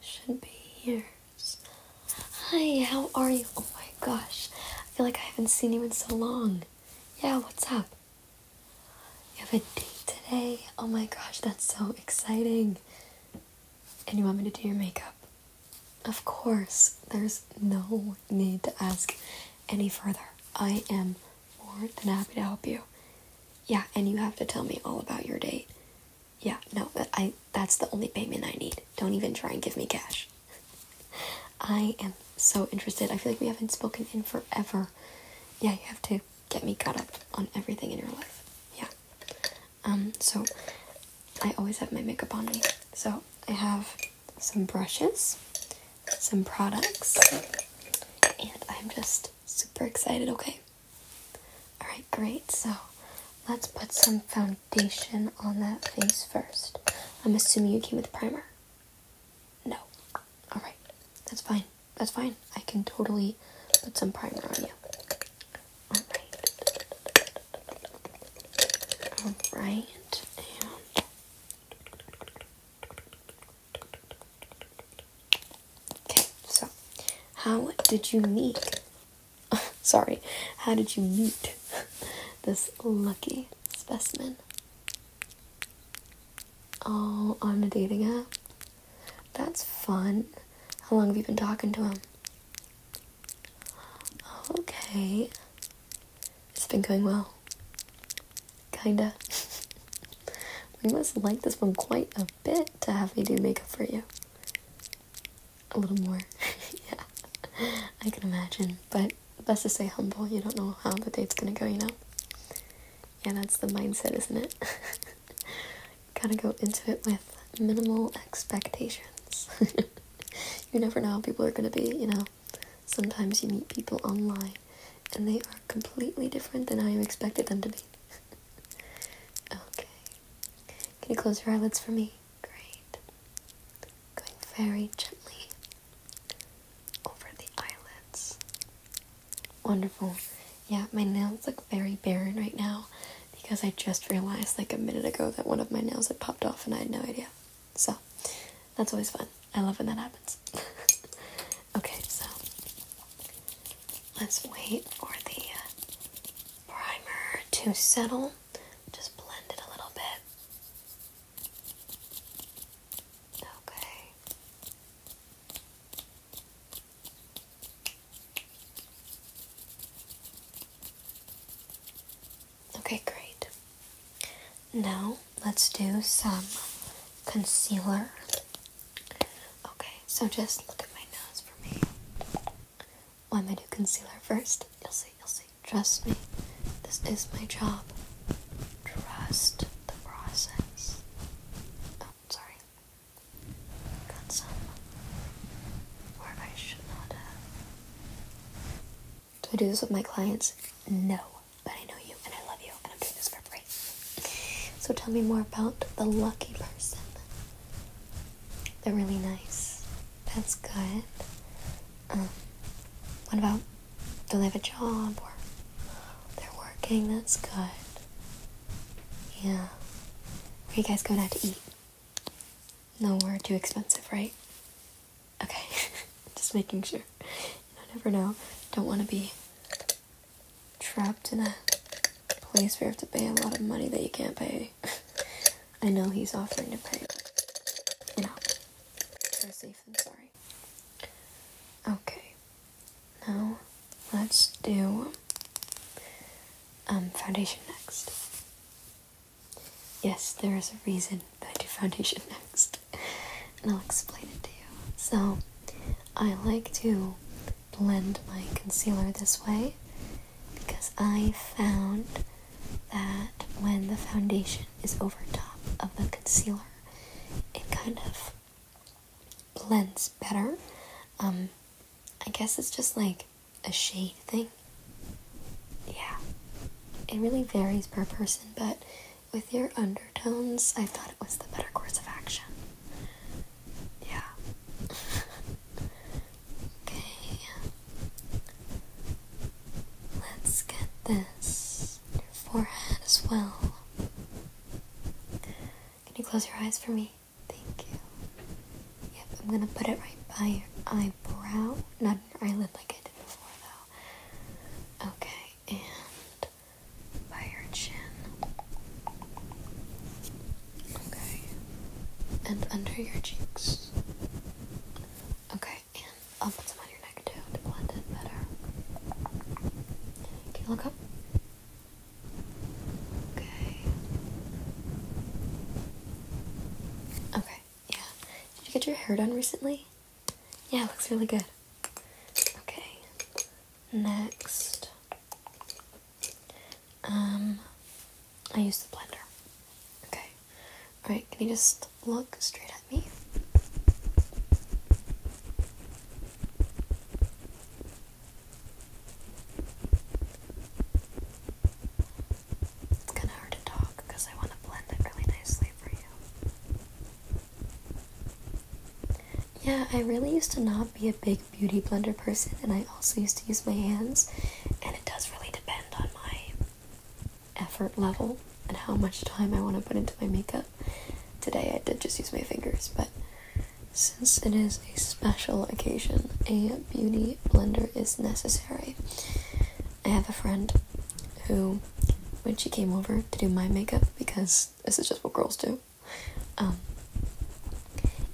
should be here. Hi, how are you? Oh my gosh, I feel like I haven't seen you in so long. Yeah, what's up? You have a date today? Oh my gosh, that's so exciting. And you want me to do your makeup? Of course, there's no need to ask any further. I am more than happy to help you. Yeah, and you have to tell me all about your date yeah, no, I that's the only payment I need. Don't even try and give me cash. I am so interested. I feel like we haven't spoken in forever. Yeah, you have to get me caught up on everything in your life. Yeah. Um, so I always have my makeup on me. So I have some brushes, some products, and I'm just super excited, okay? Alright, great. So let's put some foundation on that face first. I'm assuming you came with primer. No. Alright, that's fine. That's fine. I can totally put some primer on you. Alright. Alright. And. Okay, so how did you meet Sorry, how did you meet this lucky specimen? Oh, on a dating app? That's fun. How long have you been talking to him? Okay. It's been going well. Kinda. we must like this one quite a bit to have me do makeup for you a little more. yeah, I can imagine. But best to stay humble. You don't know how the date's gonna go, you know? Yeah, that's the mindset, isn't it? Gotta go into it with minimal expectations. you never know how people are gonna be, you know? Sometimes you meet people online and they are completely different than how you expected them to be. okay, can you close your eyelids for me? Great. Going very gently over the eyelids. Wonderful. Yeah, my nails look very barren right now because I just realized like a minute ago that one of my nails had popped off and I had no idea. So, that's always fun. I love when that happens. okay, so let's wait for the uh, primer to settle. Just blend it a little bit. Okay. Okay, great. Now let's do some concealer. Okay, so just look at my nose for me. Why I'm gonna concealer first. You'll see, you'll see. Trust me. This is my job. Trust the process. Oh, sorry. Got some where I should not have. Do I do this with my clients? No. But I know you and I love you and I'm doing this for free. So tell me more about the lucky person they're really nice. That's good. Um, what about do they have a job or they're working? That's good. Yeah. Where you guys going out to eat? No, Nowhere too expensive, right? Okay. Just making sure. You never know. Don't want to be trapped in a place where you have to pay a lot of money that you can't pay. I know he's offering to pay. You know, sorry. Okay, now let's do um, foundation next. Yes, there is a reason that I do foundation next, and I'll explain it to you. So, I like to blend my concealer this way because I found that when the foundation is over top of the concealer, it kind of blends better. Um, I guess it's just like a shade thing. Yeah, it really varies per person, but with your undertones, I thought it was the better course of action yeah. okay. Let's get this forehead as well. Can you close your eyes for me? Thank you. Yep, I'm gonna put it right by your eyebrow, not your eyelid like I did before though. Okay, and by your chin. Okay. And under your cheeks. Okay, and I'll put some on your neck too to blend in better. Can you look up? Okay. Okay, yeah. Did you get your hair done recently? Yeah, it looks really good. Okay. Next. Um, I use the blender. Okay. Alright, can you just look straight at me? It's kind of hard to talk because I want to blend it really nicely for you. Yeah, I really used to not be a big beauty blender person, and I also used to use my hands, and it does really depend on my effort level and how much time I want to put into my makeup. Today I did just use my fingers, but since it is a special occasion, a beauty blender is necessary. I have a friend who, when she came over to do my makeup, because this is just what girls do, um,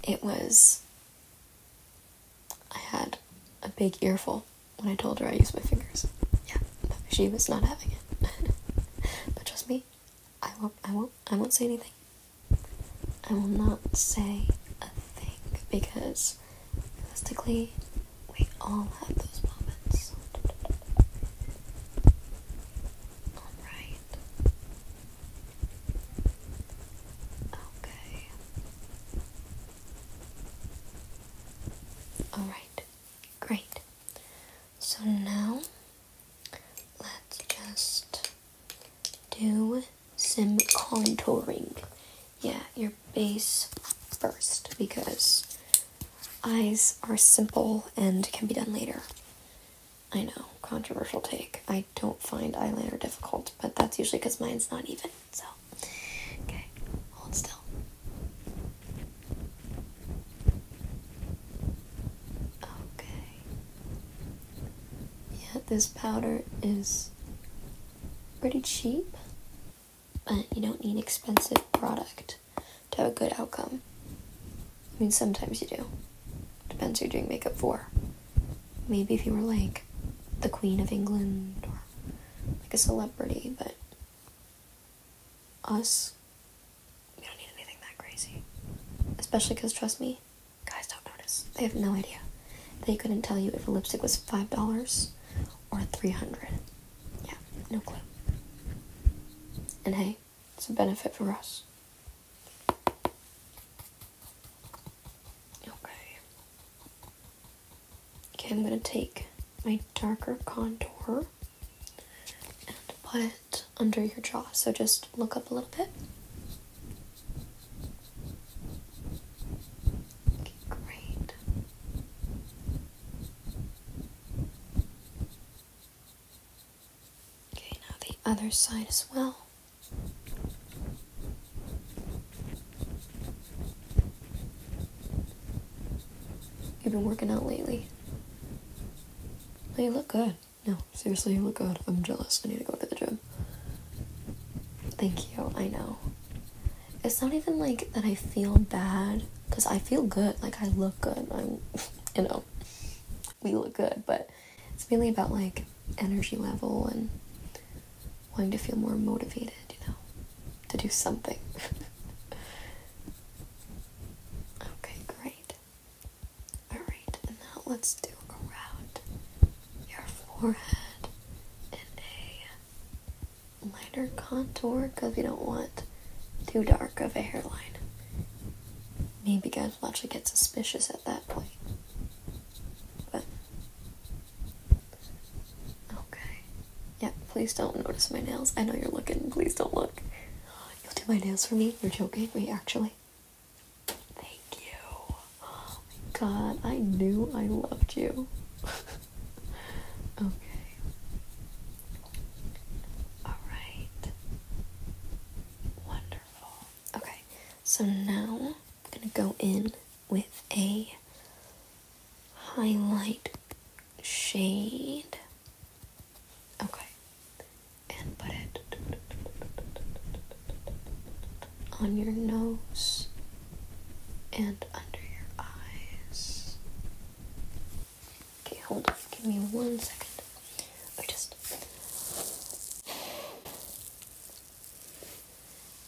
it was I had a big earful when I told her I used my fingers. Yeah, she was not having it. but trust me, I won't. I won't. I won't say anything. I will not say a thing because realistically, we all have those moments. All right. Okay. All right. Great. So now let's just do some contouring. Yeah, your base first because eyes are simple and can be done later. I know controversial take. I don't find eyeliner difficult, but that's usually because mine's not even. So, okay, hold still. Okay. Yeah, this powder is pretty cheap, but you don't need expensive product to have a good outcome. I mean, sometimes you do. Depends who you're doing makeup for. Maybe if you were like the Queen of England or like a celebrity, but us, we don't need anything that crazy. Especially because, trust me, guys don't notice. They have no idea. They couldn't tell you if a lipstick was $5 or 300 Yeah, no clue. And hey, it's a benefit for us. Okay. Okay, I'm going to take my darker contour and put it under your jaw. So just look up a little bit. Okay, great. Okay, now the other side as well. You've been working out lately. you look good. No, seriously, you look good. I'm jealous. I need to go to the gym. Thank you. I know. It's not even like that I feel bad because I feel good. Like I look good. I'm, you know, we look good, but it's mainly about like energy level and wanting to feel more motivated, you know, to do something. okay, great. Alright, and now let's do around your forehead in a lighter contour because we don't want too dark of a hairline. Maybe guys will actually get suspicious at that point. But Okay. Yeah, please don't notice my nails. I know you're looking. Please don't look. You'll do my nails for me. You're joking. me actually. Thank you. Oh my god, I knew I loved you. okay. Alright. Wonderful. Okay, so now I'm going to go in with a highlight shade. Okay. And put it on your nose and under your eyes. Okay, hold on. Give me one second. I just.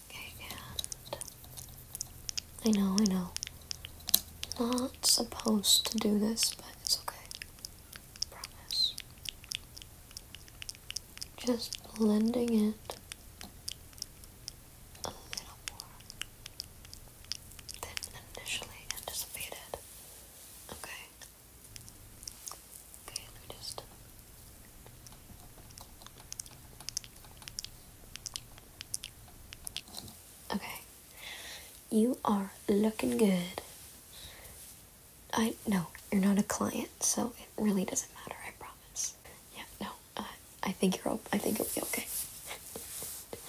Okay, and I know, I know. Not supposed to do this, but it's okay. Promise. Just blending it a little more than initially anticipated. Okay. Okay, let me just. Okay. You are looking good. I no, you're not a client, so it really doesn't matter. I promise. Yeah, no, uh, I think you're. I think it'll be okay.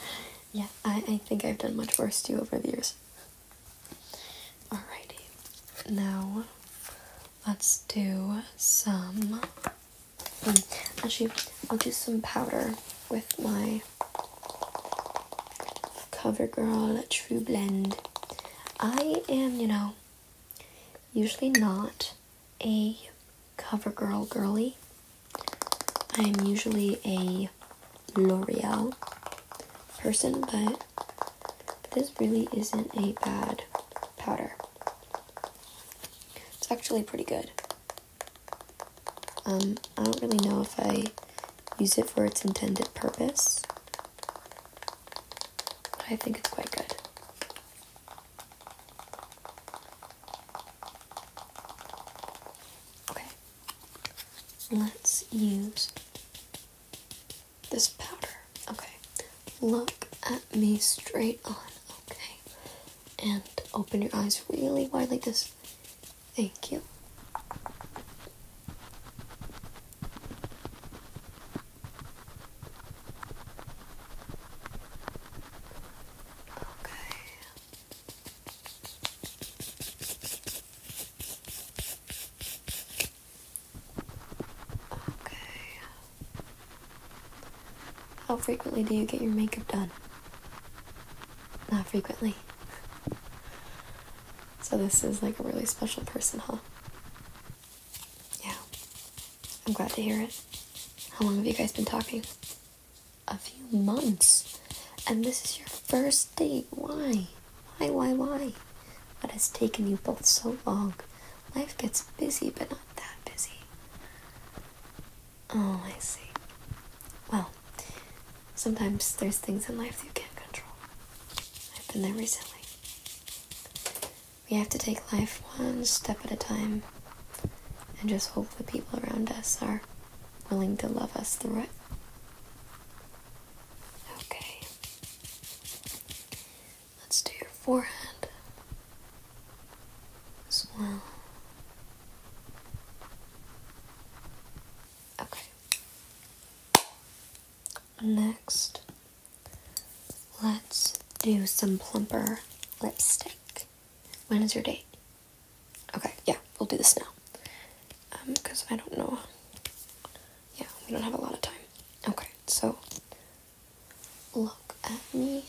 yeah, I, I think I've done much worse to you over the years. Alrighty, now let's do some. Hmm, actually, I'll do some powder with my CoverGirl True Blend. I am, you know, usually not a CoverGirl girly. I am usually a L'Oreal person, but this really isn't a bad powder. It's actually pretty good. Um, I don't really know if I use it for its intended purpose, but I think it's quite good. Okay, let's use this powder. Okay, look at me straight on. Okay, and open your eyes really wide like this. Thank you. Okay. Okay. How frequently do you get your makeup done? Not frequently. So this is like a really special person, huh? Yeah. I'm glad to hear it. How long have you guys been talking? A few months. And this is your first date. Why? Why, why, why? What has taken you both so long? Life gets busy, but not that busy. Oh, I see. Well, sometimes there's things in life that you can't control. I've been there recently. We have to take life one step at a time and just hope the people around us are willing to love us through it. Okay. Let's do your forehead as well. Okay. Next, let's do some plumper lipstick. When is your date? Okay, yeah, we'll do this now. Um, because I don't know. Yeah, we don't have a lot of time. Okay, so look at me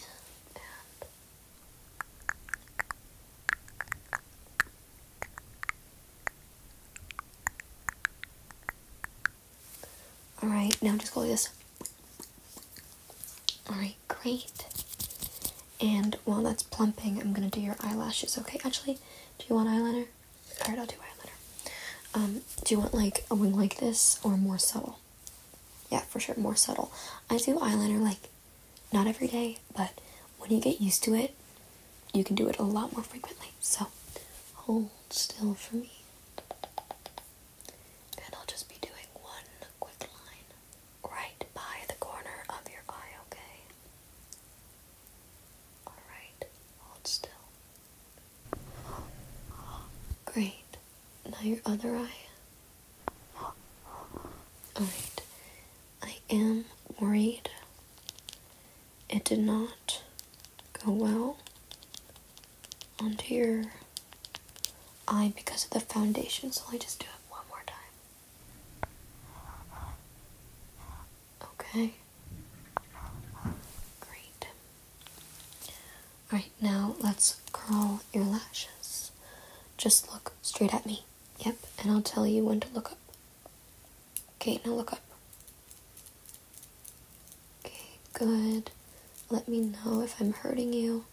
all right, now just go like this. All right, great. And while that's plumping, I'm gonna do your eyelashes. Okay, actually, do you want eyeliner? All right, I'll do eyeliner. Um, do you want like a wing like this or more subtle? Yeah, for sure, more subtle. I do eyeliner like not every day, but when you get used to it, you can do it a lot more frequently. So hold still for me. And I'll just be doing one quick line right by the corner of your eye, okay? Alright, hold still. Great. Now your other eye. Alright. I am worried. It did not go well onto your eye because of the foundation, so I just do it one more time. Okay. Great. Alright, now let's curl your lashes. Just look straight at me. Yep, and I'll tell you when to look up. Okay, now look up. Okay, good. Let me know if I'm hurting you.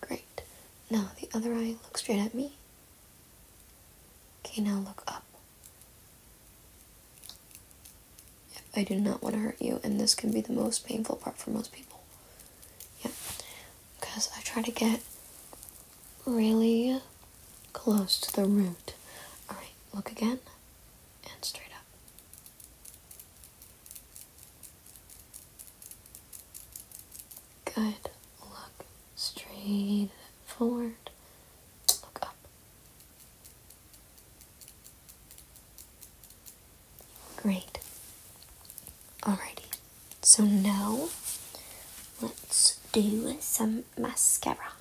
Great. Now the other eye, look straight at me. Okay, now look up. I do not want to hurt you, and this can be the most painful part for most people. Yeah, because I try to get really close to the root. All right, look again and straight up. Good. Look straight forward. Look up. Great. Alrighty. So now let's do some mascara.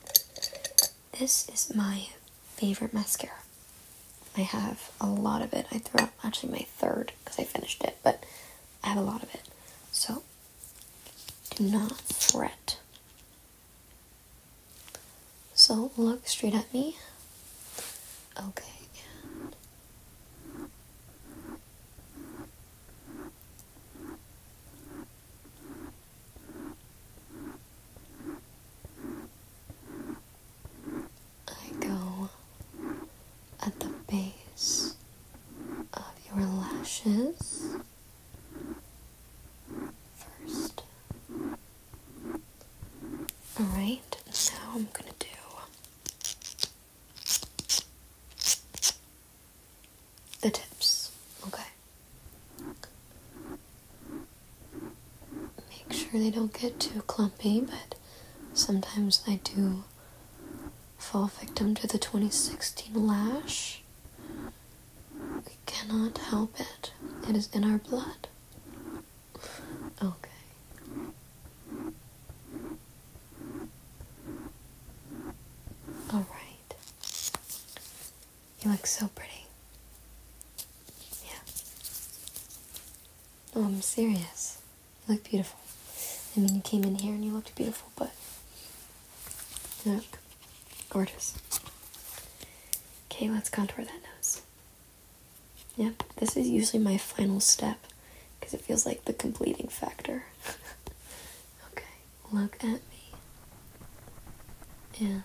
This is my favorite mascara. I have a lot of it. I threw out actually my third because I finished it, but I have a lot of it. So do not fret so look straight at me. Okay. I go at the base of your lashes first. Alright, now I'm gonna do the tips, okay? Make sure they don't get too clumpy, but sometimes I do fall victim to the 2016 lash. We cannot help it. It is in our blood. Okay. All right. You look so pretty. Yeah. No, I'm um, serious. You look beautiful. I mean, you came in here and you looked beautiful, but look gorgeous. Okay, let's contour that nose. Yep, this is usually my final step because it feels like the completing factor. okay, look at me. And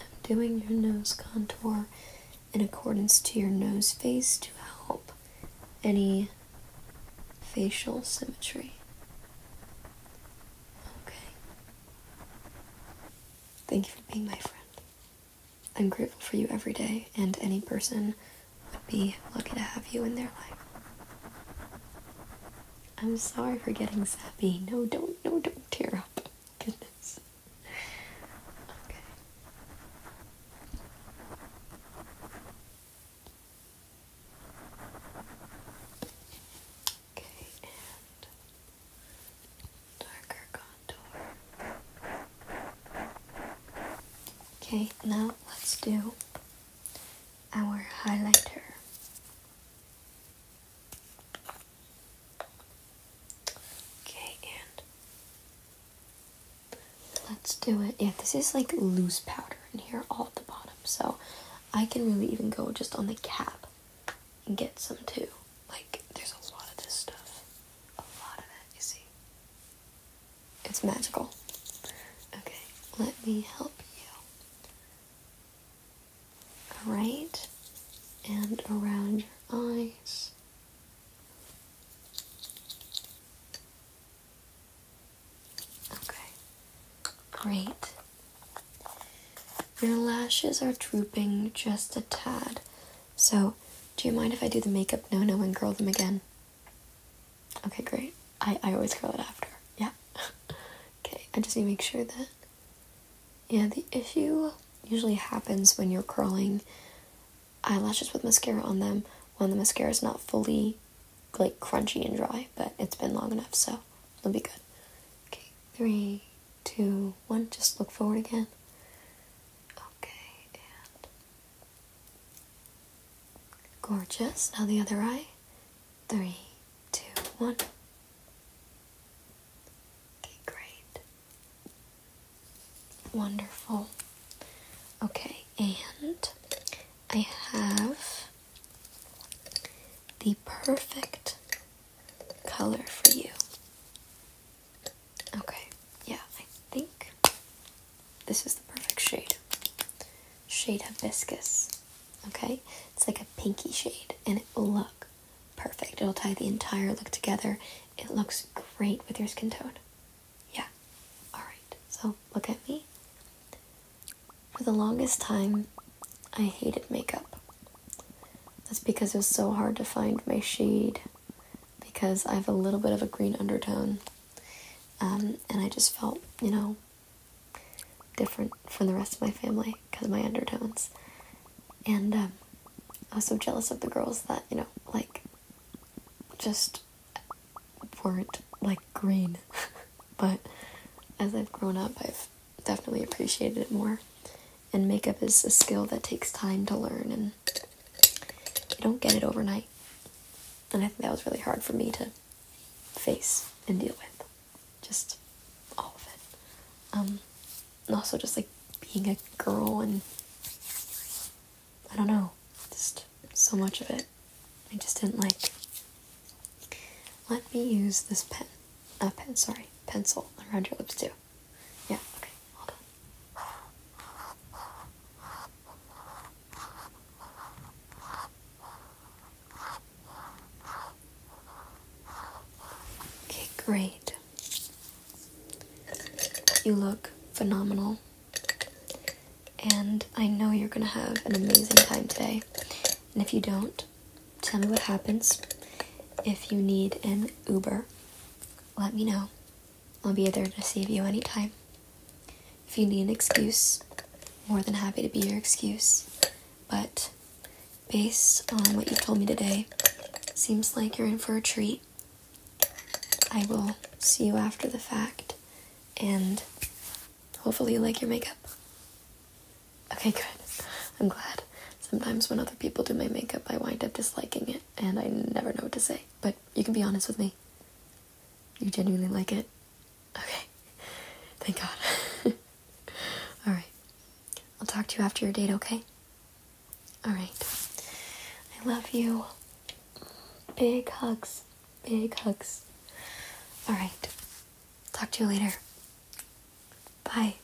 I'm doing your nose contour in accordance to your nose face to help any facial symmetry. Okay. Thank you for being my friend. I'm grateful for you every day, and any person would be lucky to have you in their life. I'm sorry for getting sappy. No, don't, no, don't tear up. Goodness. Okay. Okay, and darker contour. Okay, now let's do our highlighter. Okay, and let's do it. Yeah, this is like loose powder in here all at the bottom, so I can really even go just on the cap and get some too. Like, there's a lot of this stuff. A lot of it, you see. It's magical. Okay, let me help you. Right and around your eyes. Okay, great. Your lashes are drooping just a tad. So, do you mind if I do the makeup no no and curl them again? Okay, great. I, I always curl it after. Yeah. okay, I just need to make sure that. Yeah, the issue usually happens when you're curling eyelashes with mascara on them when the mascara is not fully like crunchy and dry, but it's been long enough, so it'll be good. Okay, three, two, one. Just look forward again. Okay, and gorgeous. Now the other eye. Three, two, one. Okay, great. Wonderful. Okay, and I have the perfect color for you. Okay, yeah, I think this is the perfect shade. Shade Hibiscus. Okay, it's like a pinky shade and it will look perfect. It'll tie the entire look together. It looks great with your skin tone. Yeah, alright, so look at me. For the longest time, I hated makeup. That's because it was so hard to find my shade because I have a little bit of a green undertone. Um, and I just felt, you know, different from the rest of my family because of my undertones. And um, I was so jealous of the girls that, you know, like, just weren't like green. but as I've grown up, I've definitely appreciated it more. And makeup is a skill that takes time to learn, and you don't get it overnight. And I think that was really hard for me to face and deal with. Just all of it. Um, and also just like being a girl and I don't know, just so much of it. I just didn't like. Let me use this pen. Uh, pen, sorry, pencil around your lips too. Yeah, okay, hold on. Okay, great. You look phenomenal. And I know you're gonna have an amazing time today. And if you don't, Tell me what happens. If you need an Uber, let me know. I'll be there to save you anytime. If you need an excuse, more than happy to be your excuse. But based on what you told me today, seems like you're in for a treat. I will see you after the fact and hopefully you like your makeup. Okay, good. I'm glad. Sometimes when other people do my makeup, I wind up disliking it and I never know what to say. But you can be honest with me. You genuinely like it? Okay. Thank God. Alright. I'll talk to you after your date, okay? Alright. I love you. Big hugs. Big hugs. Alright. Talk to you later. Bye.